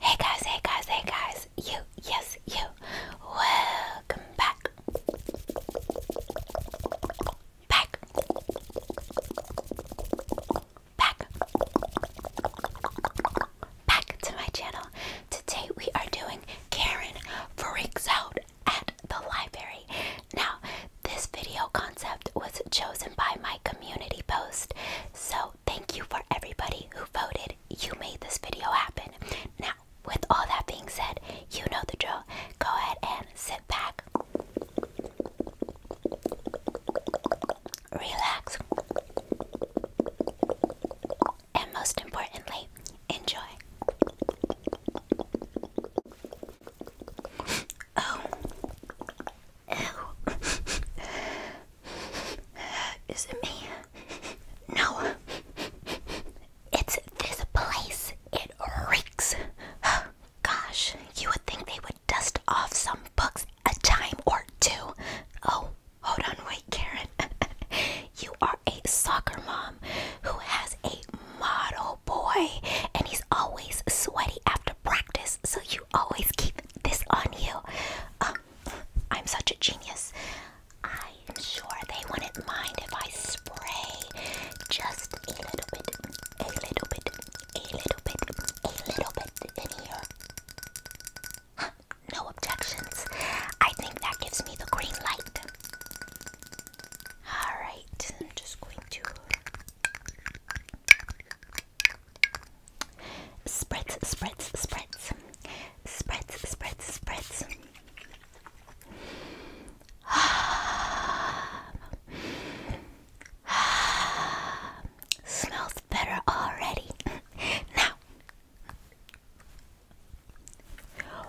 Hey guys, hey guys, hey guys, you, yes, you, welcome back. Back. Back. Back to my channel. Today we are doing Karen Freaks Out at the Library. Now, this video concept was chosen by my community post. So, thank you for everybody who voted. You made this video happen. Now, with all that being said, you know the drill. Go ahead and sit back, relax, and most importantly, enjoy. Oh, Oh, Is it me? No. It's this place. It reeks. Gosh, you would think they would dust off some books a time or two. Oh, hold on, wait, Karen. you are a soccer mom who has a model boy, and he's always sweaty after practice, so you always keep this on you. Um, I'm such a genius. I'm sure they wouldn't mind if I spray just a little bit, a little bit, a little bit, a little bit in here. no objections. I think that gives me the green light. Alright, just going to. Spreads, spreads, spreads. Spreads, spreads, spreads. Smells better already. now,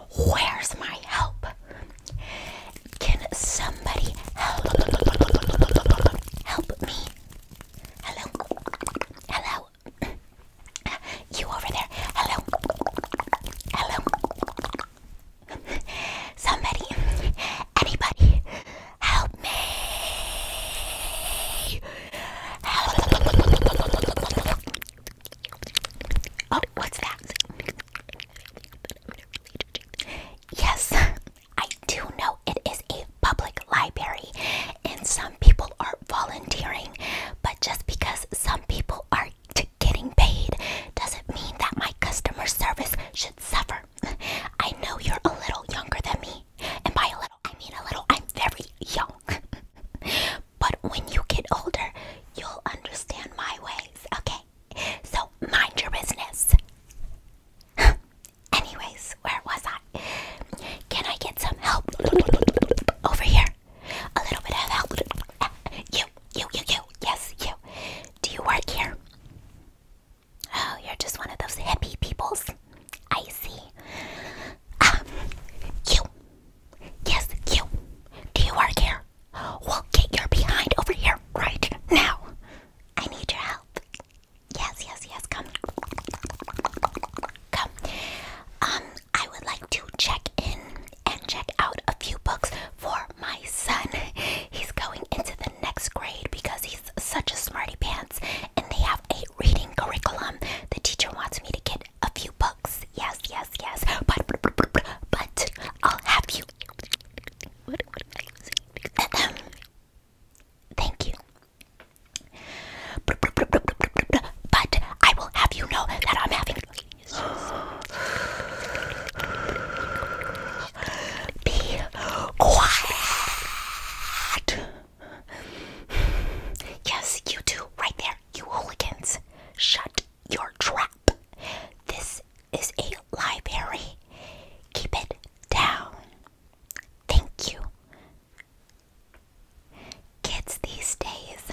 where's my help? Can some Somebody help. me. Hello. Hello. You over there. Hello. Hello. Somebody. Anybody. Help me. Oh, what's that? Yes, I do know it is a public library and some people are volunteering, but just because some people are getting paid doesn't mean that my customer service should suffer. I know you're a little younger than me, and by a little, I mean a little, I'm very young. but when you get older, you'll understand my ways, okay? So mind your business. Anyways, where was I? Can I get some help over here? A little bit of help. You, you, you, you. Yes, you. Do you work here? Oh, you're just one of those hippie peoples. I see. Ah, you. Yes, you. Do you work here? Well, get your behind over here right now. I need your help. Yes, yes, yes. Come, come. Um, I would like to check in and check out a few books for my son. He's going into the next grade because he's such a smarty pants, and they have a reading curriculum. The teacher wants me to get a few books. Yes, yes, yes. But, but I'll have you. Thank you. But I will have you know that I'm having be quiet. Yes, you two, right there, you hooligans. Shut your trap. This is a library. Keep it down. Thank you. Kids these days,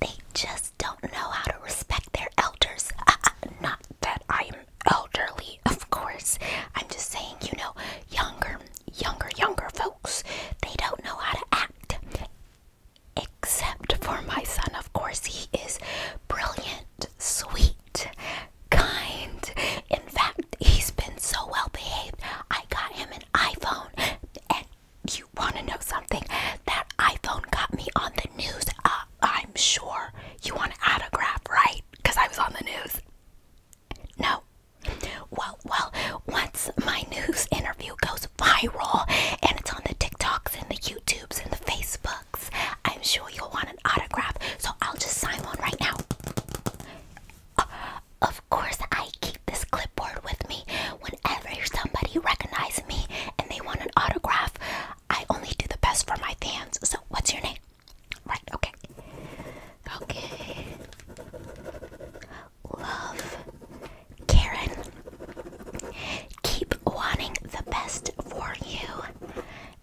they just don't know how to respect their elders. not that I'm elderly, of course. I'm just saying, you know, younger, younger, younger folks, they don't know how to act. Except for my son, of course. He is brilliant, sweet, kind. In fact, he's been so well behaved. I got him an iPhone. And you want to know something? That iPhone got me on the news. Uh, I'm sure you want an autograph, right? Because I was on the news. No. Well, well, once my news interview goes viral and it's on the TikToks and the YouTubes and the Facebooks I'm sure you'll want an autograph, so I'll just sign one right now. Uh, of course, I keep this clipboard with me. Whenever somebody recognizes me and they want an autograph, I only do the best for my fans. So, what's your name? Right, okay. Okay. Love Karen. Keep wanting the best for you.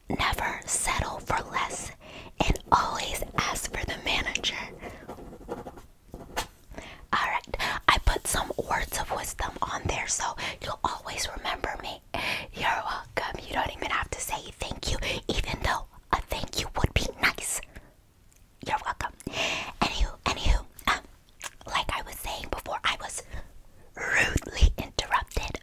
Never settle for less and always ask for the manager. Alright, I put some words of wisdom on there so you'll always remember me. You're welcome. You don't even have to say thank you, even though a thank you would be nice. You're welcome. Anywho, anywho, um, like I was saying before, I was rudely interrupted.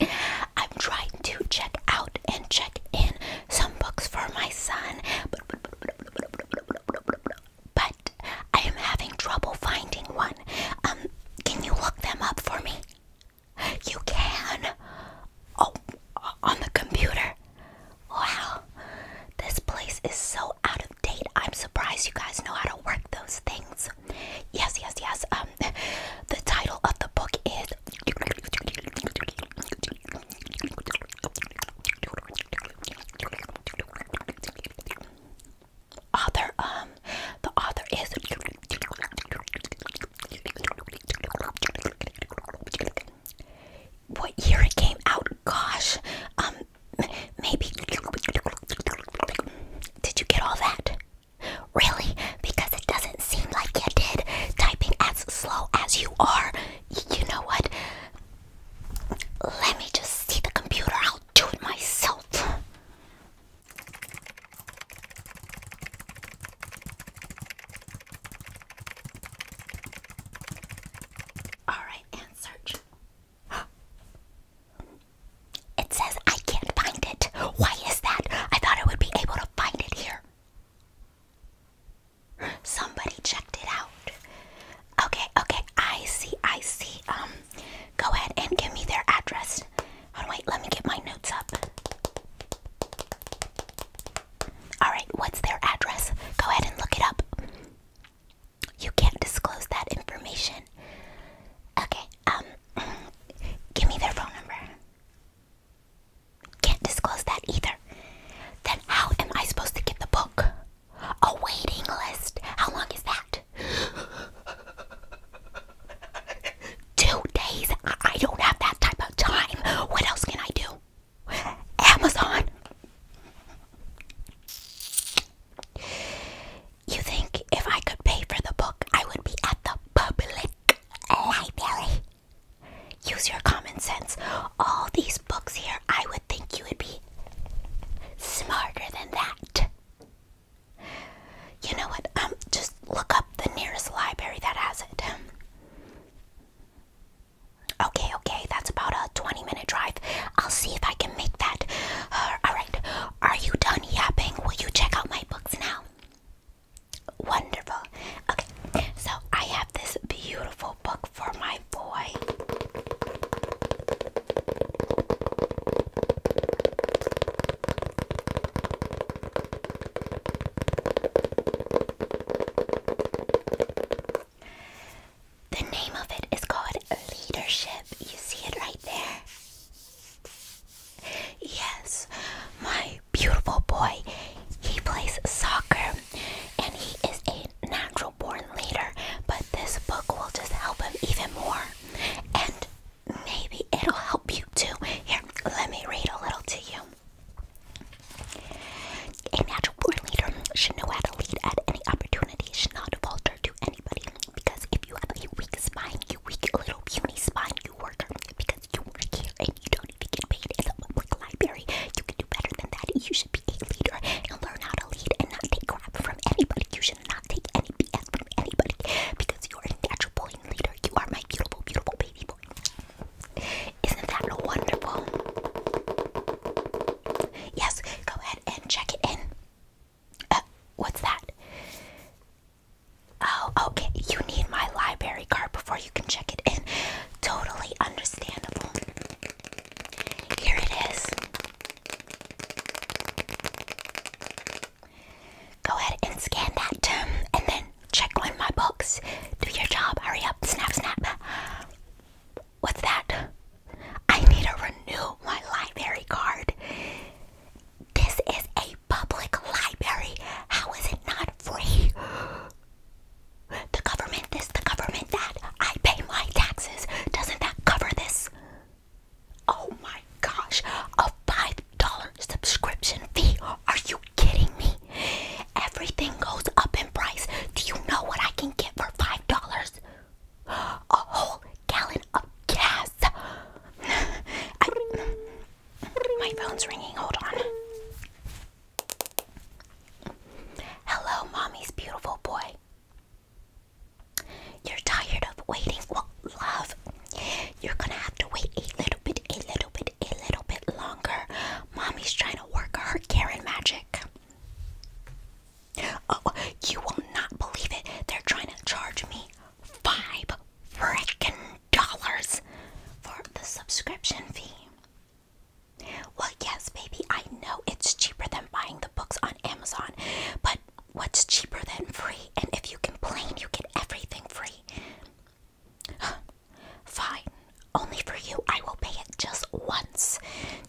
I'm trying to check out and check in some books for my son, but, I am having trouble finding one. Um, can you look them up for me? You can. Oh, on the computer. Wow, this place is so out of date. I'm surprised you guys know how to work those things. Yes, yes, yes. Um, the title of the book is author. Um, the author is. What year it came out? Gosh, um, maybe. Did you get all that? Really? Because it doesn't seem like you did. Typing as slow as you are. you know what? Let me just see the computer. I'll do it myself. Alright, and search. It says I can't find it. Why is that? I thought I would be able to find it here. Somebody checked it out. Okay, okay, I see, I see. Um, go ahead and give me their address. Oh wait, let me get my notes up. Alright, what's their address? Go ahead and look it up. You can't disclose that information. Okay, um, Give me their phone number. Can't disclose that either. Then how am I supposed to get the book? A waiting list. How long is that? Two days. I don't have that type of time. What else can I do? Amazon. You think if I could pay for the book, I would be at the public library? Use your common sense. All these books here, I would think you would be smarter than that. You know what? I'm um, just look up the nearest library that has it. Okay, okay, that's about a 20 minute drive. I'll see if I can make that. Uh, Alright, are you done yapping? Will you check out my books now? Wonderful. Okay, so I have this beautiful book for my boy. The name of it is called Leadership. You see it right there. Yes, my beautiful boy. He plays soccer and he is a natural born leader, but this book will just help him even more. And maybe it'll help you too. Here, let me read a little to you. A natural born leader should know how to lead at any opportunity, should not falter to anybody. Because if you have a weak spine, you weak little puny spine, you because you work here and you don't even get paid in the library. You can do better than that. You should be a leader and learn how to lead and not take crap from anybody. You should not take any BS from anybody because you are a natural born leader. You are my beautiful, beautiful baby boy. Isn't that wonderful? Yes, go ahead and check it in. Uh, what's that? Oh, okay. You need my library card before you can check it in. Totally understandable. Here it is. Go ahead and scan that um, and then check one of my books. Do your job. Hurry up. Snap, snap. What's that? I need to renew my library card. This is a public library. How is it not free? The government this, the government that. I pay my taxes. Doesn't that cover this? Oh my gosh, a $5 subscription fee. Are you kidding me? Everything goes up in price. Do you know what I can get for $5? A whole gallon of gas. My phone's ringing. Hold on. Hello, mommy's beautiful boy. You're tired of waiting. Well, love, you're gonna have to wait a little bit, a little bit, a little bit longer. Mommy's trying to work her Karen magic. Oh, you will not believe it. They're trying to charge me five frickin' dollars for the subscription fee. Well, yes, baby, I know it's cheaper than buying the books on Amazon, but what's cheaper than free? And if you complain, you get everything free. Fine, only for you, I will pay it just once,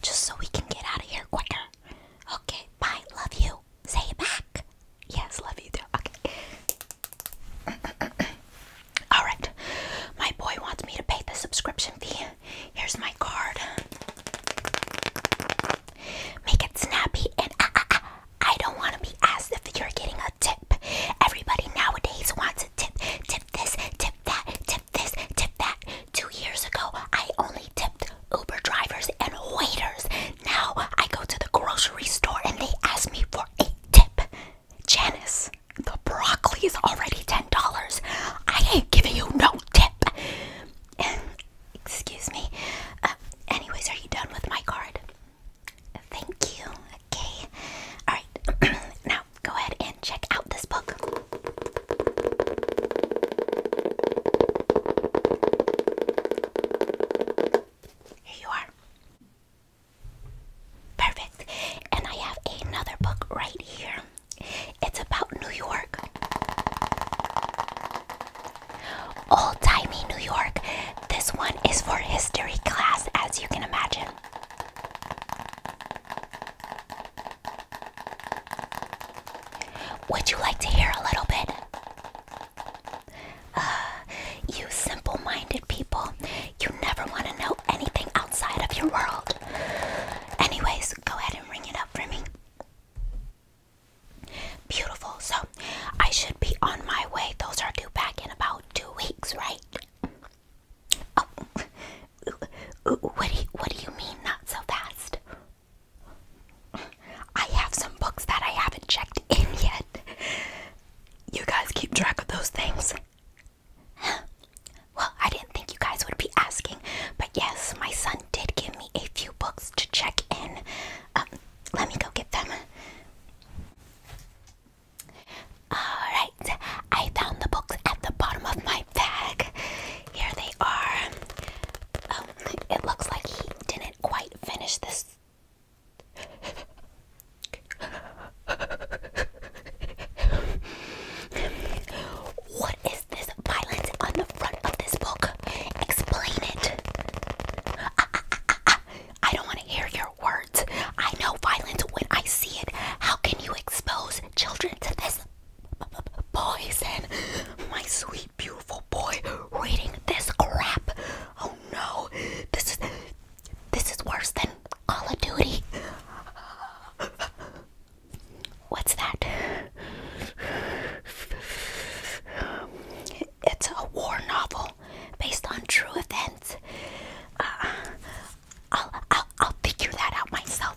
just so we can get out of here quicker. Okay, bye, love you. Say it back. Yes, love you too. Okay. Alright. My boy wants me to pay the subscription fee. Here's my card. Make it snappy and uh, uh, uh, I don't want to be asked if you're getting a tip. Everybody nowadays wants a tip. Tip this, tip that, tip this, tip that. Two years ago, I only tipped Uber drivers and waiters. Now I go to the grocery store and they ask me for a tip. Janice, the broccoli is already $10. I ain't giving you no tip. Excuse me. Um, anyways, are you done with my card? Thank you. Okay. Alright. now go ahead and check out this book. Here you are. Perfect. And I have another book right here. It's about New York. Old timey New York. This one is for history class, as you can imagine. Would you like to hear a little bit? Uh, you simple minded people, you never want to know anything outside of your world. Anyways, go ahead and ring it up for me. Beautiful. So, I should be on my way. Those are due back in about two weeks, right? Oh, what do you, what do you mean not so fast? I have some books that I haven't checked in yet. You guys keep track of those things. Well, I didn't think you guys would be asking, but yes, my son did give me a few books to check in. Um, let me go get them. Alright, I found the books at the bottom of my bag. Here they are. Um, it looks like he didn't quite finish this what is this violence on the front of this book? Explain it. I don't want to hear your words. I know violence when I see it. How can you expose children to this poison? My sweet beautiful boy reading this crap. Oh no, this is this is worse than Call of Duty. What's that? It's a war novel based on true events. Uh, I'll, I'll I'll figure that out myself.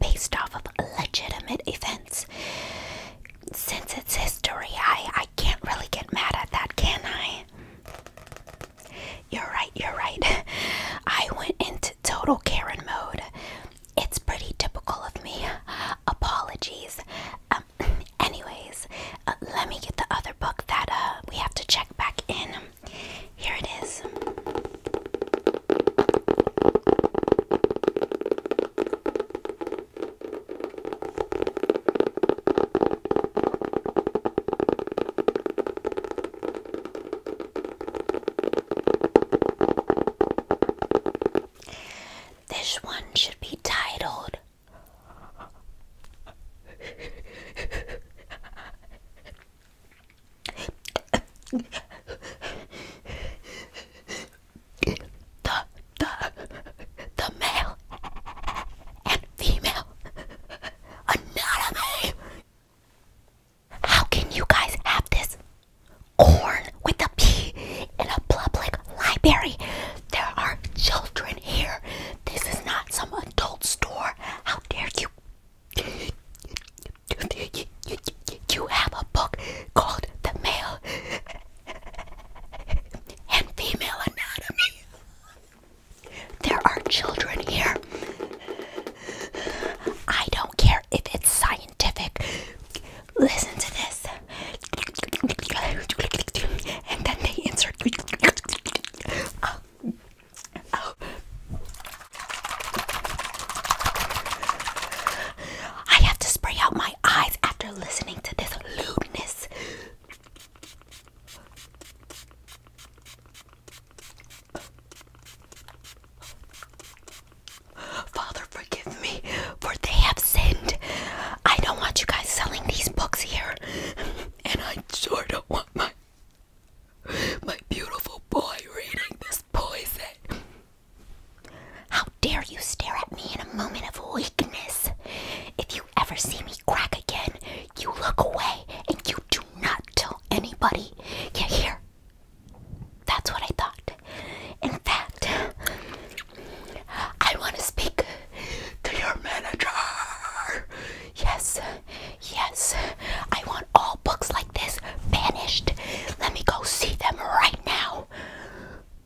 based off of legitimate events. Since it's history, I, I can't really get mad at that, can I? You're right, you're right. I went into total Karen mode. It's pretty typical of me. Apologies. Um, anyways, uh, let me get the other book that uh, we have to check back in. Here it is. This one should be titled the the the male and female anatomy. How can you guys have this corn with a P in a public library? There are children here. This is not some adult store. How dare you you have a book called The Male and Female Anatomy. There are children here. I don't care if it's scientific. Listen to this. And then they insert. Um, oh. I have to spray out my eyes after listening to this lewdness. Father, forgive me, for they have sinned. I don't want you guys selling these books here, and I sort of want my my beautiful boy reading this poison. How dare you stare at me in a moment of weakness? If you ever see me crack again, you look away and you do not tell anybody. You here. That's what I thought. In fact, I want to speak to your manager. Yes, yes, I want all books like this vanished. Let me go see them right now.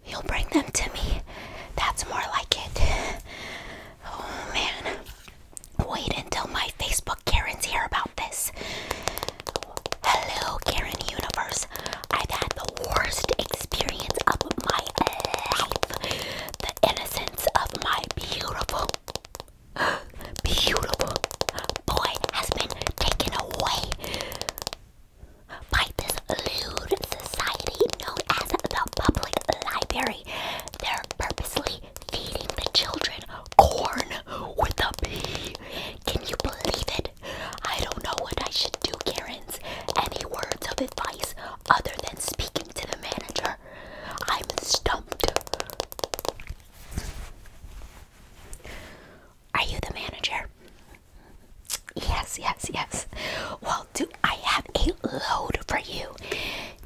You'll bring them to me. That's more like it. Oh man. Wait until my Facebook Karens hear about this. Hello, Karen Universe. I've had the worst experience of my life. The innocence of my beautiful beautiful boy has been taken away by this lewd society known as the public library. They're purposely feeding the children corn with a pea. Can you believe it? I don't know what I should do, Karens. Any words of advice other than speaking to the manager? I'm stumped. Are you the manager? Yes, yes, yes. Well, do I have a load for you?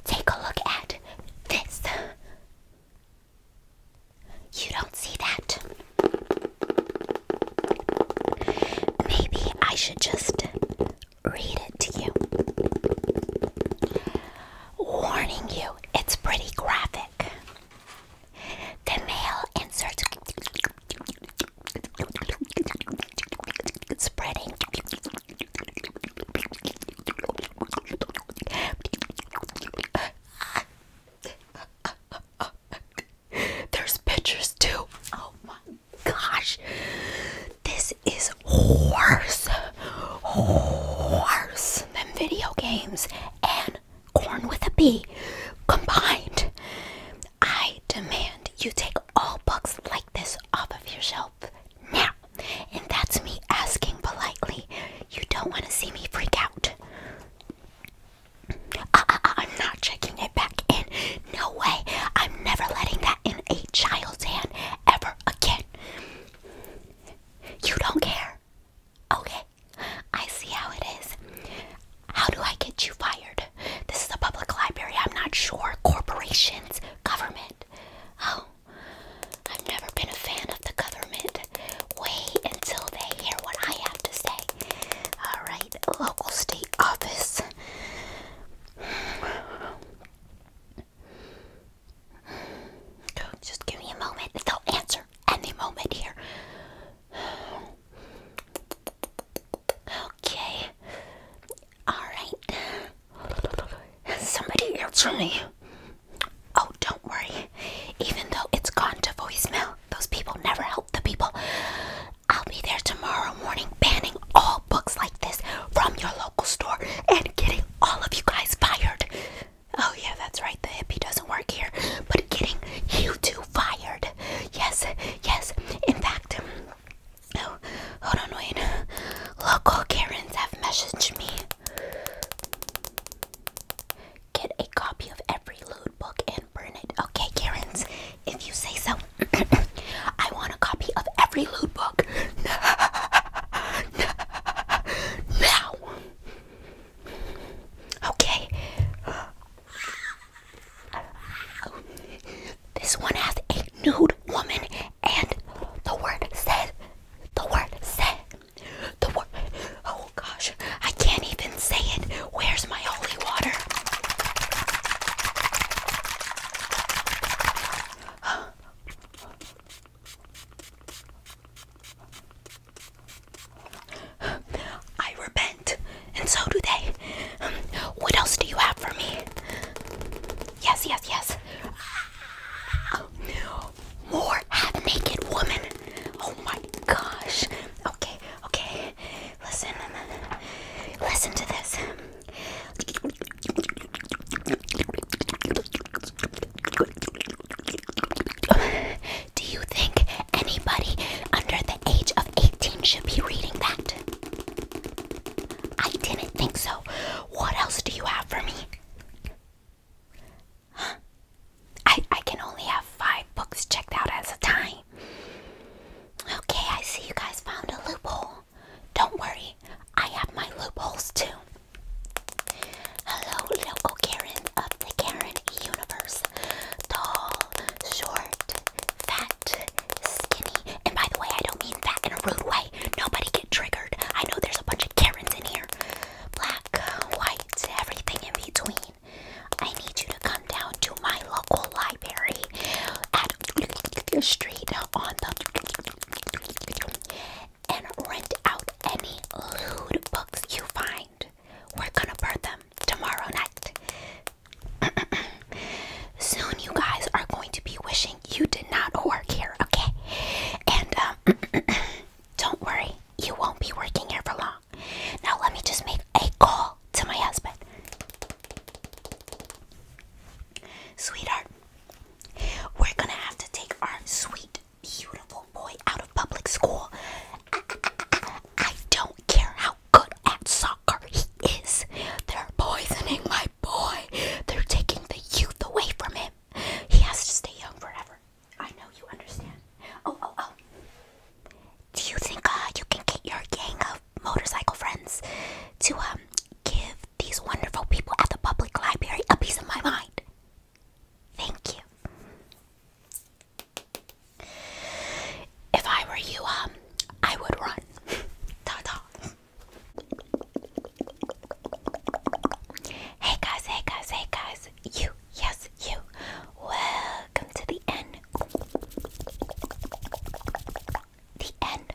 Take a look at this. You don't see that. Maybe I should just read it to you. Warning you, it's pretty graphic. The male inserts spreading There's pictures too. Oh my gosh. This is worse. Worse than video games and corn with a B combined. I demand you take all books like this off of your shelf now. And that's me asking politely. You don't want to see me freak out. I'm not checking it back in. No way. I'm never letting that in a child's hand ever again. You don't care. Okay, I see how it is. How do I get you fired? This is a public library, I'm not sure. Corporations, government. Oh, I've never been a fan of the government. Wait until they hear what I have to say. Alright, local state office. Just give me a moment. They'll answer any moment here. Okay. Alright. Somebody answer me. Oh, don't worry. Even though it's gone to voicemail, those people never help the people. I'll be there tomorrow morning banning all books like this from your local store and getting all of you guys fired. Oh, yeah, that's right. The hippie doesn't work here. But getting you two fired. Yes, yes. In fact, oh, hold on, Wayne. Local Karens have messaged me. Get a copy of every lude book and burn it. Okay, Karens, if you say so. I want a copy of every lude book. now. Okay. This one has a nude woman, and the word said, the word said, the word. Oh gosh, I can't even say it. Where's my holy water? I repent, and so do they. what else do you have for me? Yes, yes, yes. More half naked woman. Oh my gosh. Okay, okay. Listen, listen to this. Do you think anybody under the age of 18 should be reading that? I didn't think so. What else do you have for me? I, I can only have five books checked out at a time. Okay, I see you guys found a loophole. Don't worry, I have my loopholes too. Hello, local Karen of the Karen universe. Tall, short, fat, skinny. And by the way, I don't mean fat in a rude way. Nobody get triggered. I know there's a bunch of Karens in here. Black, white, everything in between. I need you to come down to my local library at Street on the and rent out any lewd books you find. We're gonna burn them tomorrow night. Soon, you guys are going to be wishing you did not work here, okay? And um, don't worry, you won't be working here for long. Now, let me just make a call to my husband. Sweetheart, we're gonna have to take our sweet beautiful boy out of public school. I, don't care how good at soccer he is. They're poisoning my boy. They're taking the youth away from him. He has to stay young forever. I know you understand. Oh, oh, oh. Do you think uh, you can get your gang of motorcycle friends to um give these wonderful people at the public library a piece of my mind? Thank you. If I were you, um, I would run. ta ta. Hey guys, hey guys, hey guys. You, yes, you. Welcome to the end. The end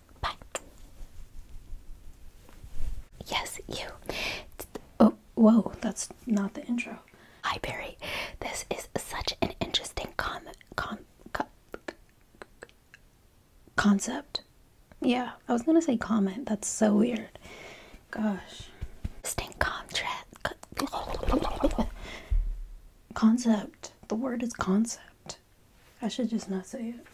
Bye. Yes, you. Oh, whoa, that's not the intro. Hi, Barry. This is such an interesting com com, concept. Yeah, I was gonna say comment. That's so weird. Gosh. Interesting contract. Concept. The word is concept. I should just not say it.